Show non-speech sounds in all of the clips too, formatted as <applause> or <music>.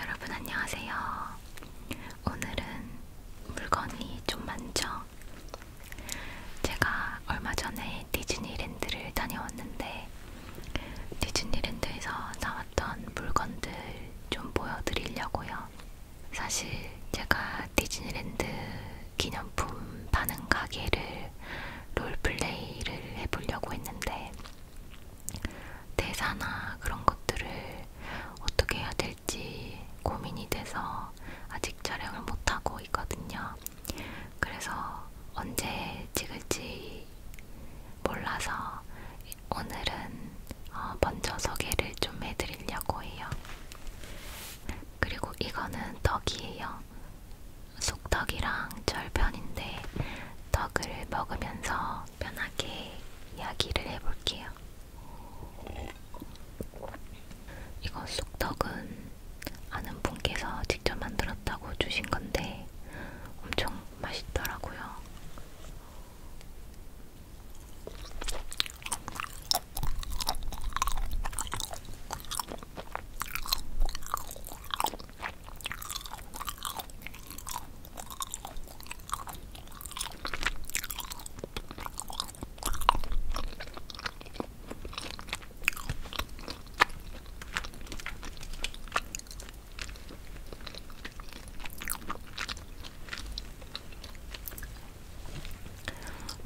여러분 안녕하세요. 오늘은 물건이 좀 많죠? 제가 얼마 전에 디즈니랜드를 다녀왔는데 디즈니랜드에서 사왔던 물건들 좀 보여드리려고요. 사실 제가 디즈니랜드 기념품 파는 가게를 롤플레이를 해보려고 했는데 대사나 그런 것들을 어떻게 해야 될지 고민이 돼서 아직 촬영을 못하고 있거든요. 그래서 언제 찍을지 몰라서 오늘은 어 먼저 소개를 좀 해드리려고 해요. 그리고 이거는 떡이에요. 쑥떡이랑 절편인데 떡을 먹으면서 편하게 이야기를 해볼게요. 이거 쑥떡은 아는 분께서 직접 만들었다고 주신 건데 엄청 맛있더라고요.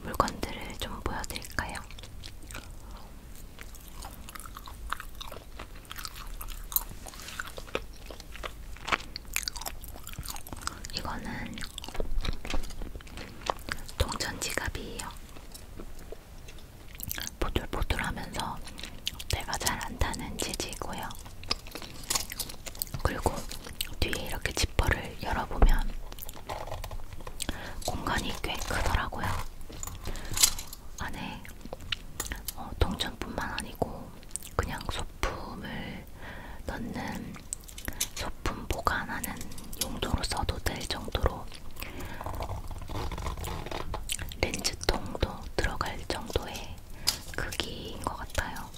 물건들을 좀 보여드릴까요? 이거는 동전 지갑이에요. 보들보들하면서 내가 잘 안 타는 재질이고요. 그리고 뒤에 이렇게 지퍼를 열어보면 공간이 꽤 크더라고요. 안에 어, 동전뿐만 아니고 그냥 소품을 넣는 소품 보관하는 용도로 써도 될 정도로 있고 렌즈통도 들어갈 정도의 크기인 것 같아요.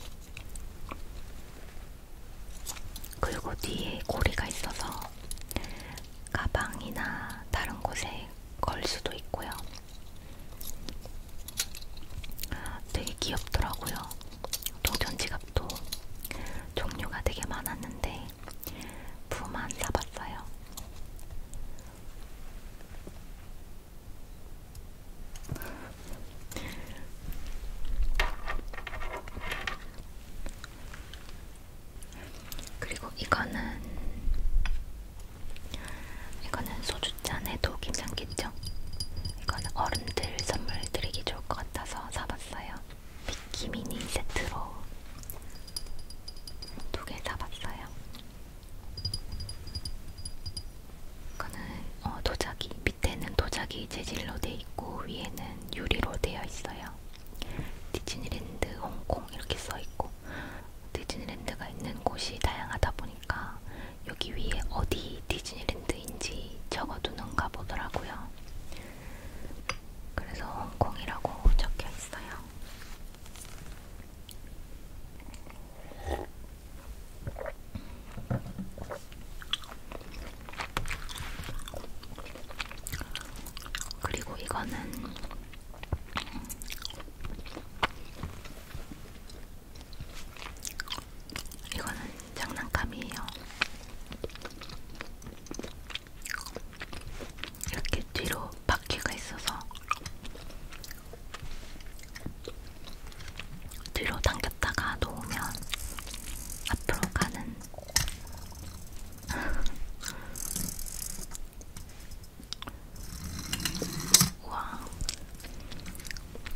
그리고 뒤에 고리가 있어서 가방이나 다른 곳에 걸 수도 있고요. 되게 귀엽더라고요. 동전 지갑도 종류가 되게 많았는데 푸만 사봤어요. 그리고 이거는 이거는 소주잔에도 괜찮겠죠? 이거는 어른들 선물 드리기 좋을 것 같아서 사봤어요. 미키미니 세트로 두 개 사봤어요. 이거는 어, 도자기, 밑에는 도자기 재질로 돼 있고 위에는 유리로 되어 있어요. 디즈니랜드 홍콩 이렇게 써 있고 디즈니랜드가 있는 곳이 다양하다 보니까 여기 위에 어디 디즈니랜드인지 적어두는가 보더라고요. 그래서 홍콩이라고 적혀 있어요. 그리고 이거는 이거는 장난감이에요. 이렇게 뒤로 바퀴가 있어서 뒤로 당겼다가 놓으면 앞으로 가는 <laughs> 우와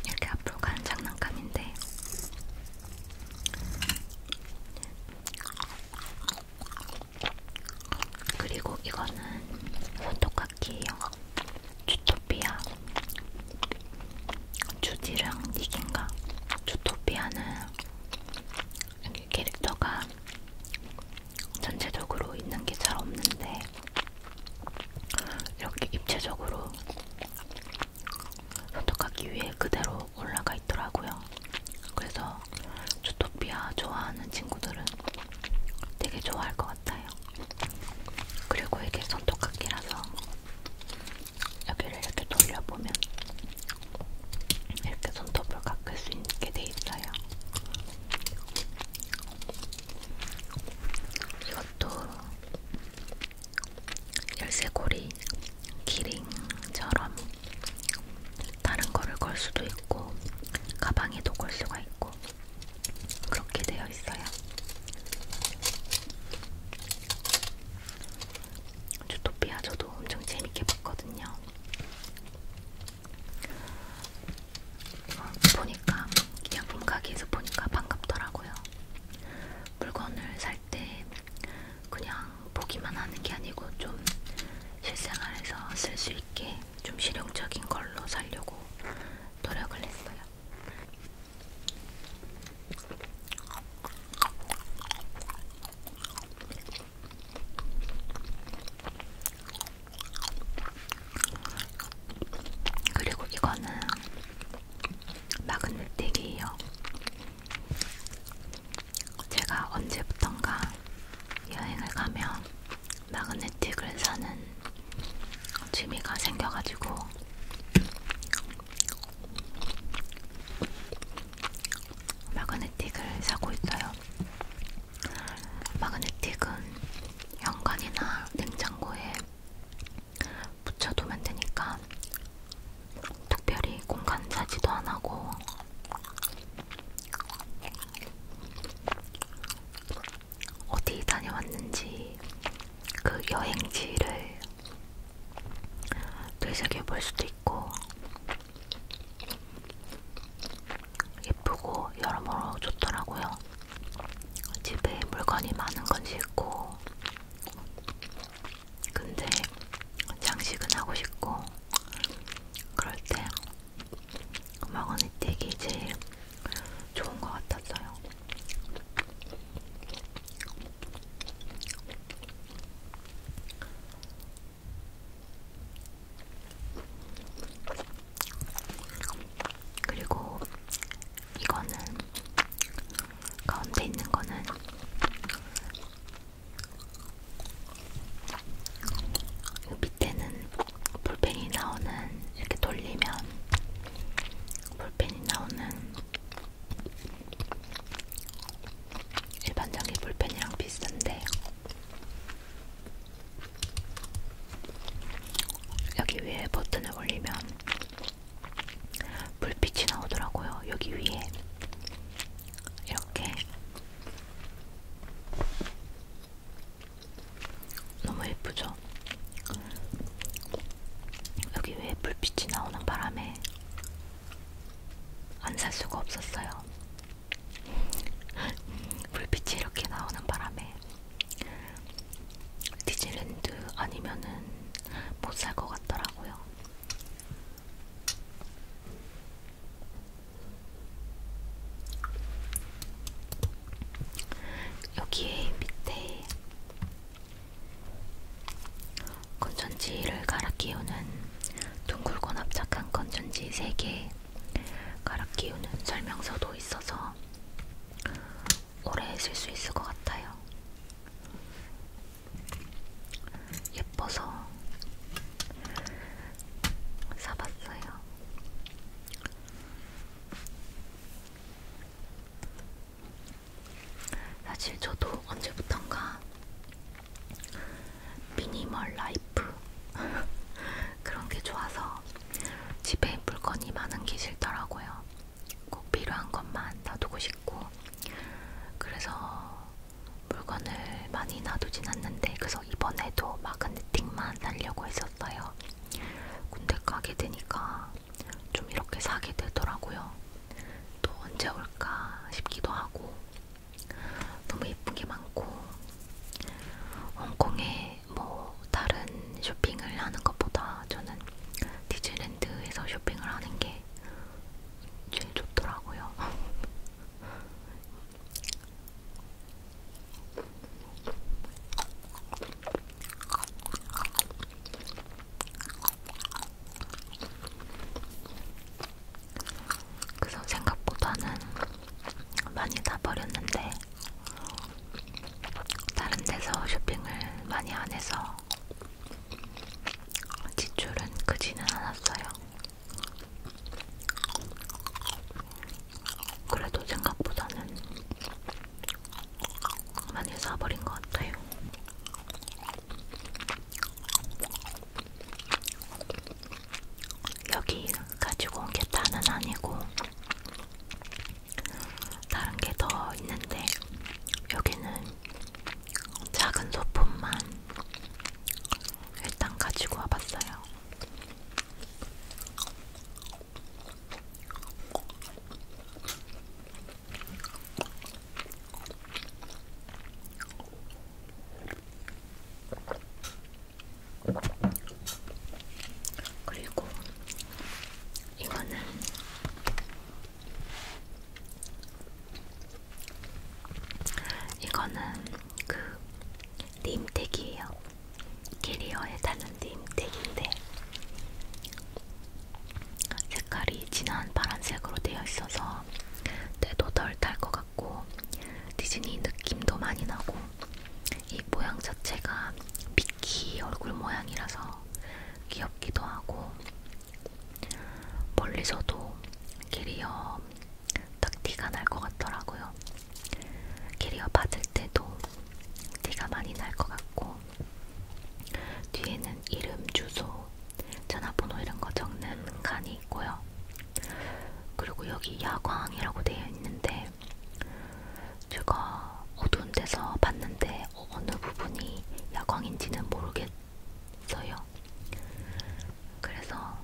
이렇게 앞으로 가는 장난감인데 그리고 이거는 포토카키예요. 주토피아. 주디랑 닉인가? 주토피아는 이렇게 캐릭터가 전체적으로 있는 게 잘 없는데 이렇게 입체적으로 선덕하기 위해 그대로 올라가 있더라고요. 그래서 주토피아 좋아하는 친구들은 되게 좋아할 것 같아요. 그리고 이게 손톱깎이라서 여기를 이렇게 돌려보면 이렇게 손톱을 깎을 수 있게 돼 있어요. 이것도 열쇠고리, 기링처럼 다른 거를 걸 수도 있고 가방에도 걸 수가 있고 그렇게 되어 있어요. 주토피아 저도 엄청 재밌게 봤거든요. 보니까 약품 가게에서 보니까 반갑더라고요. 물건을 살때 그냥 보기만 하는 게 아니고 좀 실생활에서 쓸 수 있게 좀 실용적인 걸로 살려고 노력을 했어요. 그리고 이거는 막은느끼기예요. 제가 언제부턴가 여행을 가면 마그네틱을 사는 취미가 생겨가지고 마그네틱을 사고 있어요. 마그네틱은 현관이나 냉장고에 붙여두면 되니까 특별히 공간 차지도 안 하고 어디 다녀왔는지 그 여행지를 되새겨 볼 수도 있고 예쁘고 여러모로 좋더라고요. 집에 물건이 많은 건 싫고 근데 장식은 하고 싶고 그럴 때 마그네 틱이 제일 좋은 것 같았어요. 그리고 이거는 가운데 있는 거는 이 밑에는 볼펜이 나오는 이렇게 돌리면 볼펜이 나오는 일반적인 볼펜이랑 비슷한데 여기 위에 버튼을 올리면 불빛이 나오더라고요. 여기 위에 이렇게 너무 예쁘죠? 여기 위에 불빛이 나오는 바람에 안 살 수가 없었어요. <laughs> 불빛이 이렇게 나오는 바람에 디즈랜드 아니면은 못살 것 같더라고요. 여기에 밑에 건전지를 갈아 끼우는 둥글고 납작한 건전지 3개 갈아 끼우는 설명서도 있어서 오래 쓸 수 있을 것 같아요. 예뻐서 사봤어요. 사실 저도 언제부턴가 미니멀 라이프 그런 게 좋아서 집에 물건이 많은 게 싫더라고요. 꼭 필요한 것만 놔두고 싶고 그래서 물건을 많이 놔두진 않는데 그래서 이번에도 마그네틱만 살려고 했었어요. 근데 가게 되니까 좀 이렇게 사게 되더라고요. 또 언제 올까 싶기도 하고 너무 예쁜 게 많고 홍콩에 이제 뭐 다른 쇼핑을 하는 것보다 저는 디즈랜드에서 쇼핑을 하는 게 제일 좋더라고요. <laughs> 그래서 생각보다는 많이 다 버렸는데 다른 데서 쇼핑을 많이 안 해서 지출은 크지는 않았어요. 그래도 생각보다는 많이 사버린 것 같아요. 여기 가지고 온 게 다는 아니고 다른 게 더 있는데 여기는 작은 소품만 일단 가지고 와봤어요. 그리고 이거는 이거는 그 님택이에요. 캐리어에 달린 님택인데 색깔이 진한 파란색으로 되어 있어서 때도 덜 탈 것 같고 디즈니 느낌도 많이 나고 이 모양 자체가 미키 얼굴 모양이라서 귀엽기도 하고 멀리서도 캐리어 딱 티가 날 것 같더라고요. 캐리어 받을 때도 티가 많이 날 것 같고 뒤에는 이름, 주소, 전화번호 이런 거 적는 칸이 있고요. 그리고 여기 야광이라고 되어 있는데 제가 어두운 데서 봤는데 어, 어느 부분이 야광인지는 모르겠어요. 그래서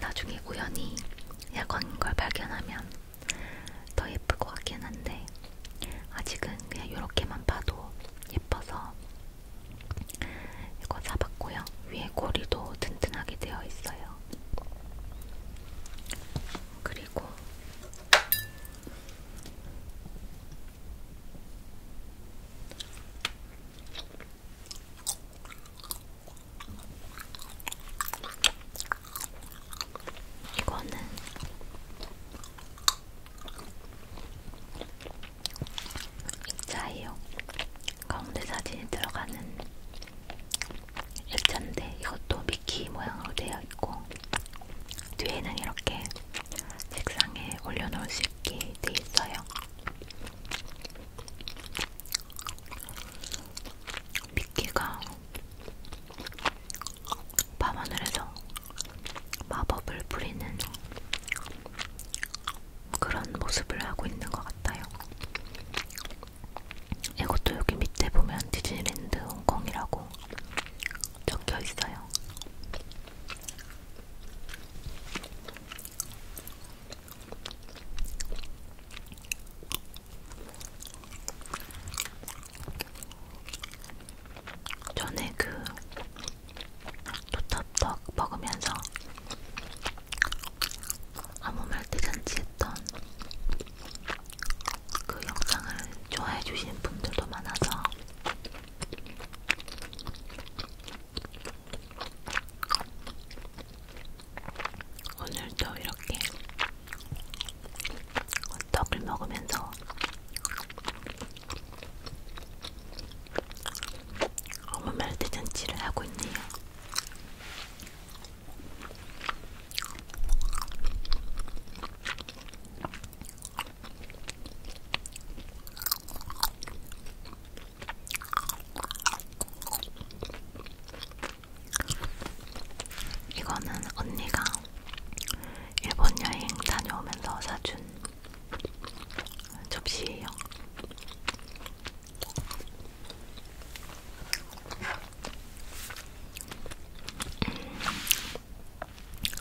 나중에 우연히 야광인 걸 발견하면 더 예쁠 것 같긴 한데 아직은 그냥 이렇게만 봐도 예뻐서 이거 사봤고요. 위에 고리도 튼튼하게 되어 있어요. 그리고 이거는 액자예요. 가운데 사진이 들어가는 액자인데 이것도 미키 모양으로 되어 있고 뒤에는 이렇게 책상에 올려놓을 수 있게 돼 있어요. 미키가 밤하늘에서 마법을 부리는 그런 모습을 하고 있는 것 같아요. 이것도 여기 밑에 보면 디즈니랜드 홍콩이라고 적혀 있어요. 전에 그 토탑떡 먹으면서 아무 말도 잔치했던 그 영상을 좋아해 주신 분들도 많아서 오늘도 이렇게 떡을 먹으면서 아무 말도 잔치를 하고 있네요. 이거는 언니가 일본 여행 다녀오면서 사준 접시예요.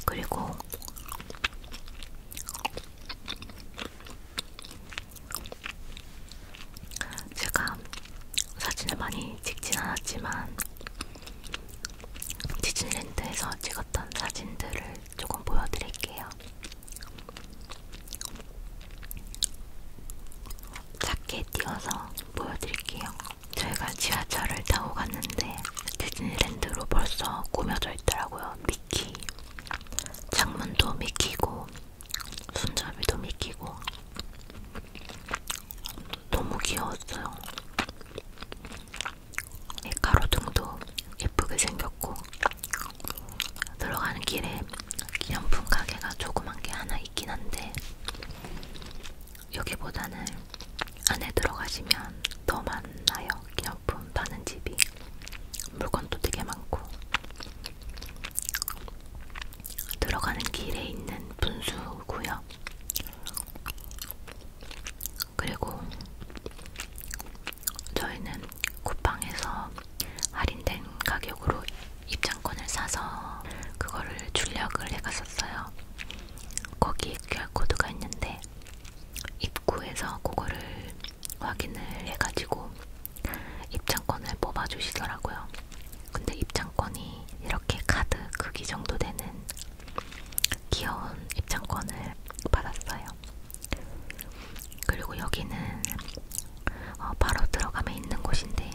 그리고 제가 사진을 많이 찍진 않았지만 디즈니랜드에서 찍었던 사진들을 조금 보여드릴게요. 작게 띄어서 보여드릴게요. 저희가 지하철을 타고 갔는데 디즈니랜드로 벌써 꾸며져 있더라고요. 미키. 창문도 미키고, 손잡이도 미키고. 너무 귀여웠어요. 가로등도 예쁘게 생겼고 들어가는 길에 기념품 가게가 조그만 게 하나 있긴 한데 여기보다는 안에 들어가시면 더 많나요? 기념품 파는 집이 물건도 되게 많고 들어가는 길에 있는 분수구요 그리고 저희는 쿠팡에서 할인된 가격으로 입장권을 사서 그거를 출력을 해갔었어요. 거기 QR코드가 있는데 입구에서 그거를 확인을 해가지고 입장권을 뽑아주시더라고요. 근데 입장권이 이렇게 카드 크기 정도 되는 귀여운 입장권을 받았어요. 그리고 여기는 어, 바로 들어가면 있는 곳인데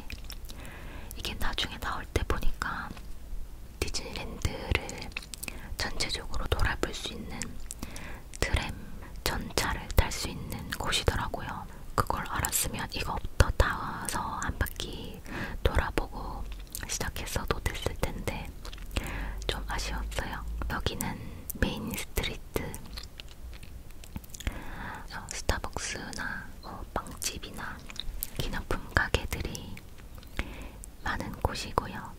이게 나중에 나올 때 보니까 디즈니랜드를 전체적으로 돌아볼 수 있는 트램 전차를 탈 수 있는 곳이더라고요. 그걸 알았으면 이거부터 타서 한 바퀴 돌아보고 시작했어도 됐을 텐데 있는데 좀 아쉬웠어요. 여기는 메인 스트리트 스타벅스나 뭐 빵집이나 기념품 가게들이 많은 곳이고요.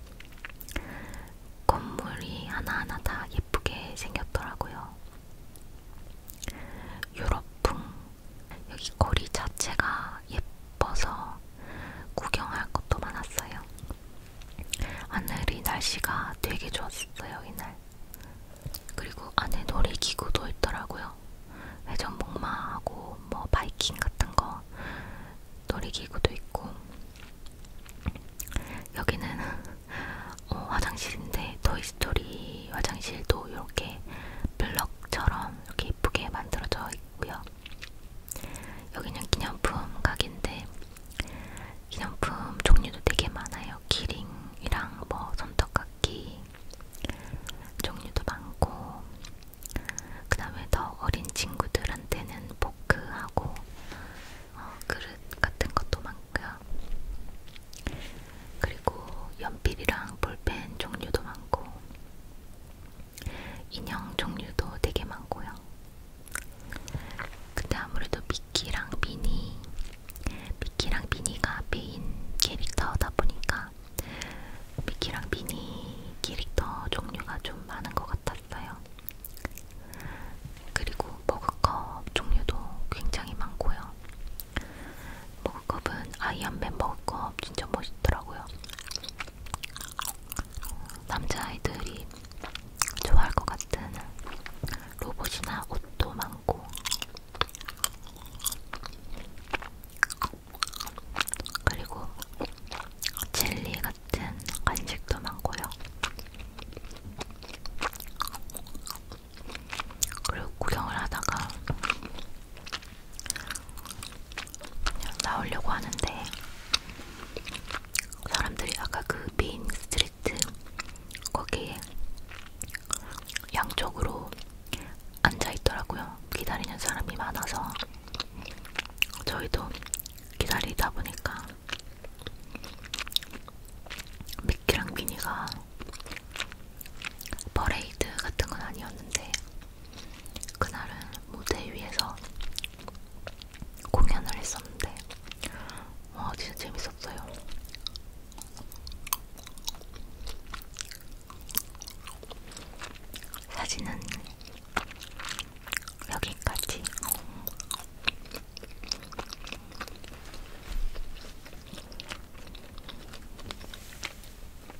건물이 하나하나 다 예쁘게 생겼더라고요. 유럽풍 여기 거리 자체가 예뻐서 구경할 것도 많았어요. 하늘이 날씨가 되게 좋았어요 이날. 그리고 안에 놀이기구도 있더라고요. 회전목마하고 뭐 바이킹 같은 거 놀이기구도 있고 여기는 <laughs> 어, 화장실인데 토이스토리 화장실도 이렇게 블럭처럼 이렇게 예쁘게 만들어져 있고요. 여기는 기념품 가게인데 기념품 종류도 되게 많아요. 키링이랑 뭐 손톱깎이 종류도 많고 그 다음에 더 어린 친구들한테는 포크하고 어, 그릇 같은 것도 많고요. 그리고 연필이랑 볼펜 종류도 많고 인형 종류도 되게 많고요. 근데 아무래도 미키랑 미니, 미키랑 미니가 메인 캐릭터다 보니까 미키랑 미니 캐릭터 종류가 좀 많은 것 같았어요. 그리고 머그컵 종류도 굉장히 많고요. 머그컵은 아이언맨 머그컵 진짜 멋있더라고요. 남자아이들이 좋아할 것 같은 로봇이나 옷도 많고 그리고 젤리 같은 간식도 많고요. 그리고 구경을 하다가 그냥 나오려고 하는데 사람들이 아까 그 메인 스트리트 거기에 양쪽으로 앉아있더라고요. 기다리는 사람이 많아서 저희도 기다리다 보니까 미키랑 미니가 퍼레이드 같은 건 아니었는데 그날은 무대 위에서 공연을 했었는데 와 진짜 재밌었어요. 사진은 여기까지.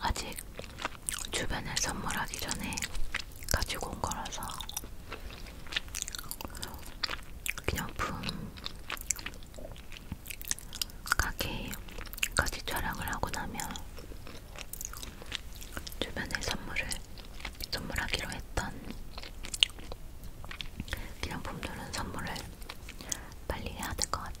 아직 주변에 선물하기 전에 가지고 온 거라서 기념품 가게까지 촬영을 하고 나면 주변에 선물을 선물하기로 했던 기념품들은 선물을 빨리 해야 될 것 같아요.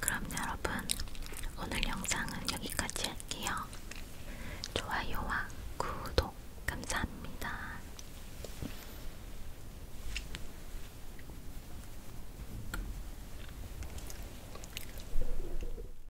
그럼 여러분, 오늘 영상은 여기까지 할게요. 좋아요와 구독 감사합니다.